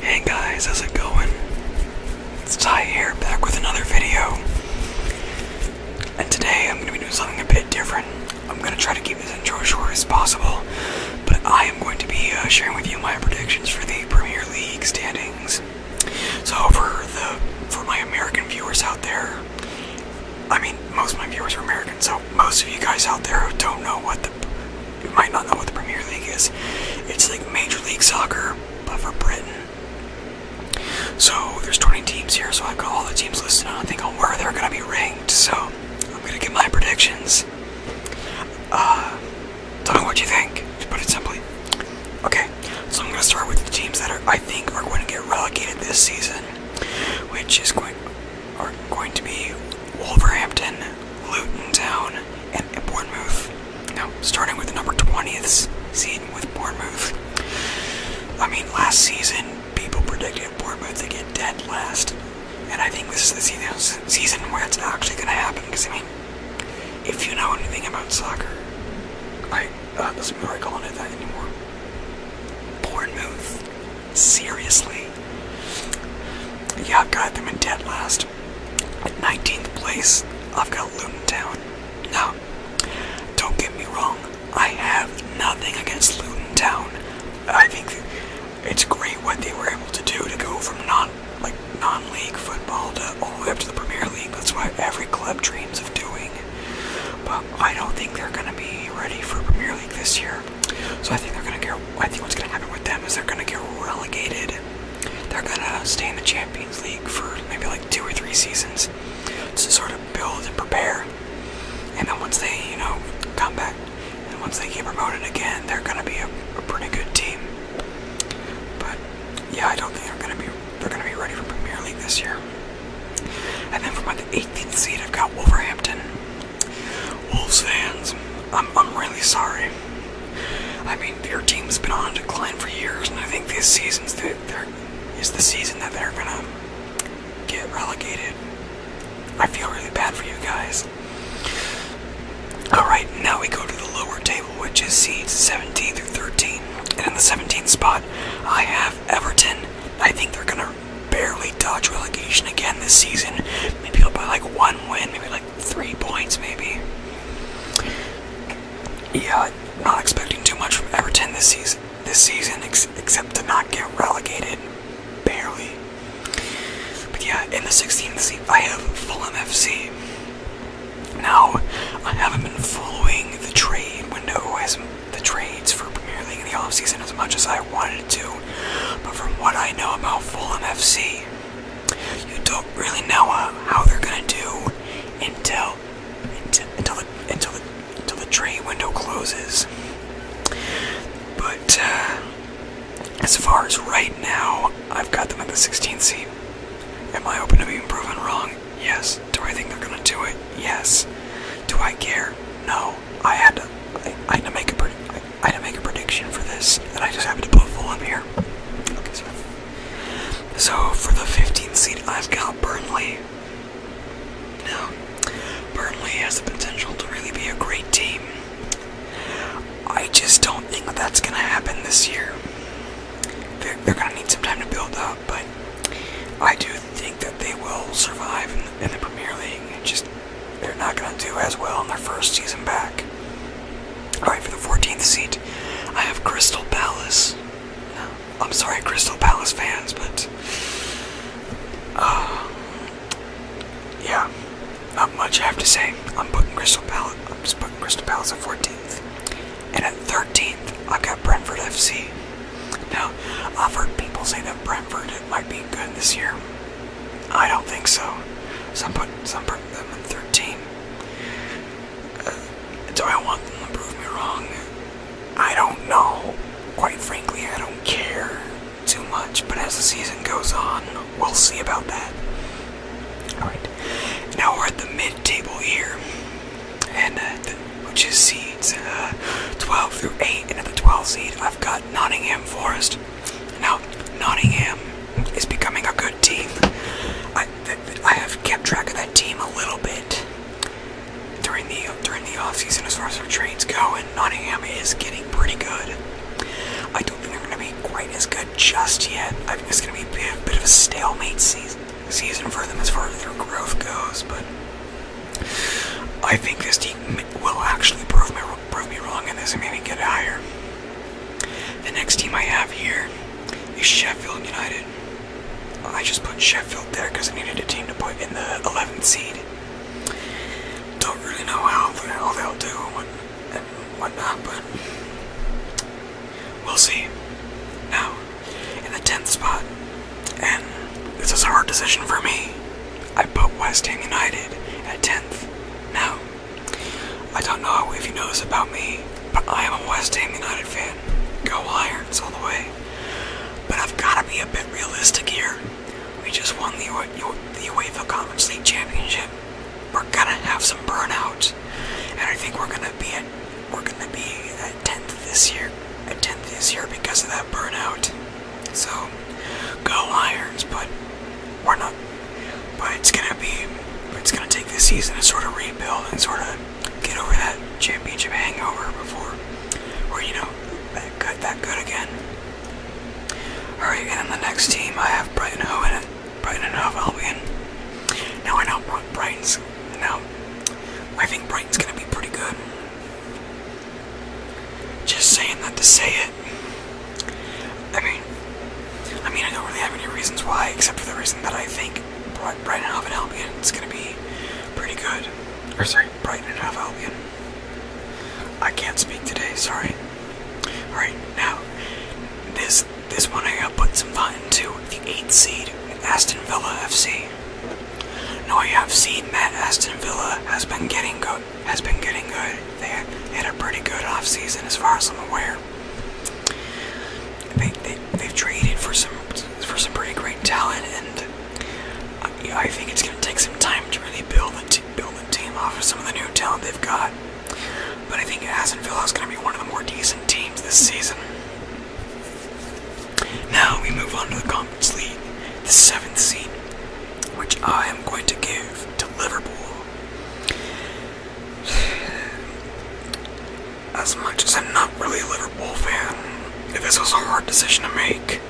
Hey guys, how's it going? It's Ty here, back with another video. And today I'm gonna be doing something a bit different. I'm gonna try to keep this intro as short as possible, but I am going to be uh, sharing with you my predictions for the Premier League standings. So for the for my American viewers out there, I mean, most of my viewers are American, so most of you guys out there who don't know what the, might not know what the Premier League is. It's like Major League Soccer, but for Britain. So there's 20 teams here, so I've got all the teams listed. I don't think on where they're gonna be ranked. So I'm gonna give my predictions. Uh, tell me what you think. To put it simply. Okay, so I'm gonna start with the teams that are I think are going to get relegated this season which is going are going to be Wolverhampton, Luton Town, and Bournemouth. Now, starting with the number 20th seed with Bournemouth. I mean, last season people predicted Bournemouth to get dead last, and I think this is the season where it's actually going to happen. Because I mean, if you know anything about soccer, I that oh, doesn't even really calling it anymore. Bournemouth. Seriously. Yeah, I've got them in dead last. 19th place, I've got Luton Town. Now, don't get me wrong, I have nothing against Luton Town. I think it's great what they were able to do to go from non like non-league football to all the way up to the Premier League. That's why every club dreams of doing. But I don't think they're going to be ready for Premier League this year. So I think they're going to get. I think what's going to happen with them is they're going to get relegated. They're going to stay in the Champions League for maybe like two or three seasons to sort of build and prepare. And then once they, you know, come back, and once they get promoted again, they're going to be a, a pretty good team. But yeah, I don't think they're going to be they're gonna be ready for Premier League this year. And then from the 18th seed, I've got Wolverhampton. Wolves fans, I'm really sorry. I mean, your team's been on decline for years, and I think this season's the is the season that they're gonna get relegated. I feel really bad for you guys. Alright, now we go to the lower table, which is seeds 17 through 13. And in the 17th spot, I have Everton. I think they're gonna barely dodge relegation again this season. Maybe by like one win, maybe like three points, maybe. Yeah, not expecting too much from Everton this season. This season, except to not get relegated, barely. But yeah, in the 16th seat, I have full MFC. Now, I haven't been following the trade window as the trades for Premier League in the offseason as much as I wanted to, but from what I know about Fulham FC, you don't really know uh, how they're gonna do until until until the, until the, until the trade window closes. But uh, as far as right now, I've got them at the 16th seat. Am I open to being proven wrong? Yes. Do I think they're gonna do it? Yes. Do I care? No. I had to. I, had to make a. I, I had to make a prediction for this, and I just happened to put full up here. so. for the 15th seat, I've got Burnley. Now, Burnley has the potential to really be a great team. I just don't think that's gonna happen this year. they're gonna need some time to build up but I do think that they will survive in the, Premier League. just they're not going to do as well in their first season back. All right, for the 14th seat, I have Crystal Palace. I'm sorry, Crystal Palace fans, but uh, yeah, not much I have to say. I'm putting Crystal Palace. I'm just putting Crystal Palace at 14th. And at 13th, I've got Brentford FC. Now, I've heard people say that Brentford might be good this year. I don't think so. Some put some put them in 13. Uh, do I want them to prove me wrong? I don't know. Quite frankly, I don't care too much. But as the season goes on, we'll see about that. All right. Now we're at the mid-table here and uh, which is seeds uh, 12 through 8. And the 12 seed, I've got Nottingham Forest. Now, Nottingham is becoming a good team. I I have kept track of that team a little bit during the during the off season as far as our trades go, and Nottingham is getting pretty good. I don't think they're going to be quite as good just yet. I think it's going to be a bit of a stalemate season season for them as far as their growth goes, but I think this team will actually prove me, prove me wrong and this. I'm going to get higher. The next team I have here is Sheffield United. I just put Sheffield there because I needed a team to put in the 11th seed. Don't really know how the hell they'll do and whatnot, but we'll see. Now, in the 10th spot. And this is a hard decision for me. I put West Ham United at 10th. Now, I don't know if you know this about me, but I am a West Ham United fan. Go Irons all the way. But I've got to be a bit realistic here. We just won the, the UEFA Conference League Championship. We're gonna have some burnouts, and I think we're gonna be at we're gonna be at 10th this year, at 10th this year because of that burnout. So go Irons, but we're not. But it's gonna be, it's gonna take this season to sort of rebuild and sort of get over that championship hangover before we're you know that good that good again. All right, and then the next team I have Brighton in it. Brighton and Hove Albion. Now I know Brighton's. Now I think Brighton's gonna be pretty good. Just saying that to say it. I mean, I mean I don't really have any reasons why, except for the reason that I think Brighton and Hove Albion is gonna be pretty good. Or sorry, Brighton and Hove Albion. I can't speak today. Sorry. All right now. This this one I got put some thought into. The eighth seed, Aston Villa FC. Now, you have seen Matt Aston Villa has been getting good. Has been getting good. They had a pretty good offseason, as far as I'm aware. They, they they've traded for some for some pretty great talent, and I, I think it's going to take some time to really build the build the team off of some of the new talent they've got. But I think Aston Villa is going to be one of the more decent teams this season. Now we move on to the Conference League, the seventh seed, which I am going to give to Liverpool. As much as I'm not really a Liverpool fan, this was a hard decision to make,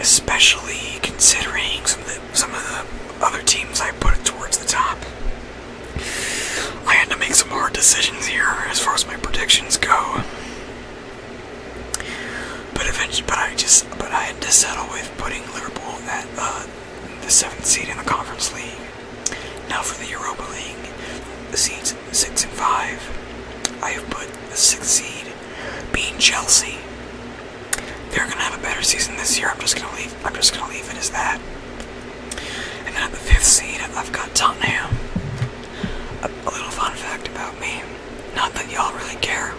especially considering some of the other teams I put towards the top. I had to make some hard decisions here as far as my predictions go. But eventually, but I just, but I had to settle with putting Liverpool at uh, the seventh seed in the Conference League. Now for the Europa League, the seeds six and five. I have put the sixth seed being Chelsea. They're gonna have a better season this year. I'm just gonna leave. I'm just gonna leave it as that. And then at the fifth seed, I've got Tottenham. A, little fun fact about me, not that y'all really care,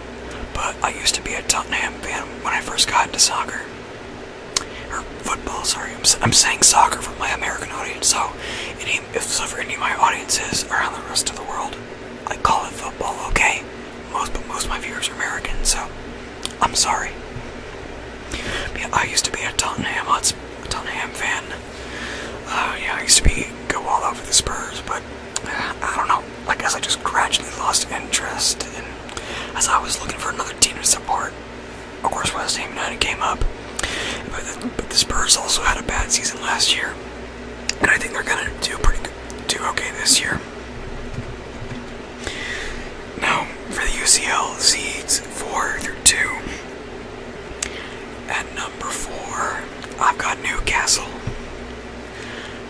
but I used to be a Tottenham fan when I first got into soccer. Or football, sorry. I'm, saying soccer for my American audience, so any, if so for any of my audiences around the rest of the world, I call it football, okay? Most, but most of my viewers are American, so I'm sorry. Yeah, I used to be a Tottenham Hotspur, fan. Uh, yeah, I used to be go all over the Spurs, but uh, I don't know. I guess I just gradually lost interest, and as I was looking for another team to support, of course West Ham United came up. But the, but the Spurs also had a bad season last year, and I think they're gonna do pretty good, do okay this year. Now, for the UCL seeds 4 through 2, at number 4, I've got Newcastle.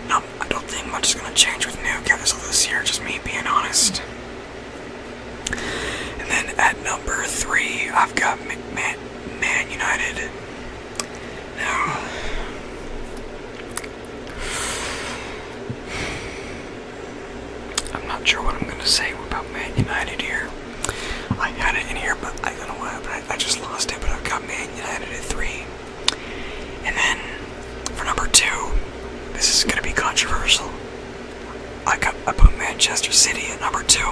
Now, I don't think much is going to change with Newcastle this year, just me being honest. And then at number 3, I've got Man, Man United. Now, I'm not sure what I'm gonna say about Man United here. I had it in here, but I don't know why. happened. I, just lost it, but I've got Man United at three. And then for number two, this is gonna be controversial. I got I put Manchester City at number two.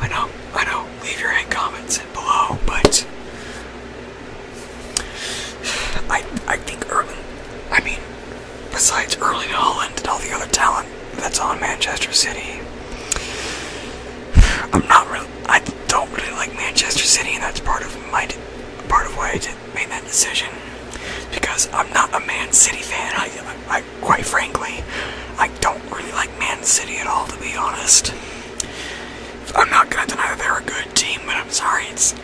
I know, I know. Leave your hate comments below, but I I think Erling. I mean, besides Erling Holland and all the other talent that's on Manchester City, I'm not really. I don't really like Manchester City, and that's part of my part of why I made that decision. Because I'm not a Man City fan. I, I, quite frankly, I don't really like Man City at all, to be honest. I'm not gonna deny that they're a good team, but I'm sorry, it's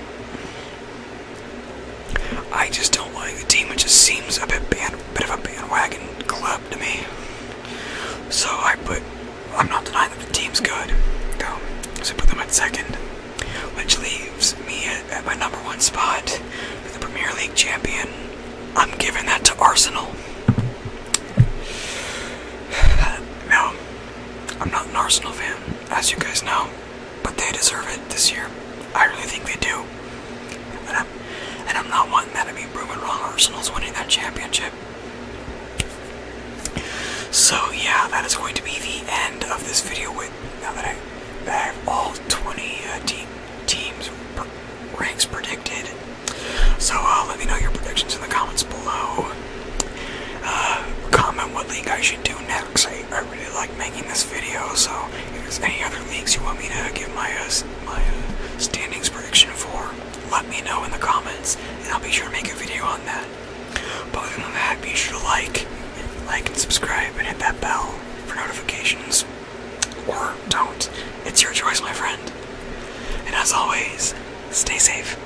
I just don't like the team. It just seems a bit of a bandwagon club to me. So I put. I'm not denying that the team's good. No. So put them at second, which leaves me at, at my number one spot for the Premier League champion. I'm giving that to Arsenal. No, I'm not an Arsenal fan, as you guys know, but they deserve it this year. I really think they do. And I'm, and I'm not wanting that. I mean, proven wrong. Arsenal's winning that championship. So yeah, that is going to be the end of this video. With now that I, have all 20 uh, teams ranks predicted. So uh, let me know your predictions in the comments below. Uh, comment what league I should do next. I, I really like making this video, so if there's any other leagues you want me to give my, uh, my uh, standings prediction for, let me know in the comments, and I'll be sure to make a video on that. But other than that, be sure to like, like and subscribe, and hit that bell for notifications. Or don't. It's your choice, my friend. And as always, stay safe.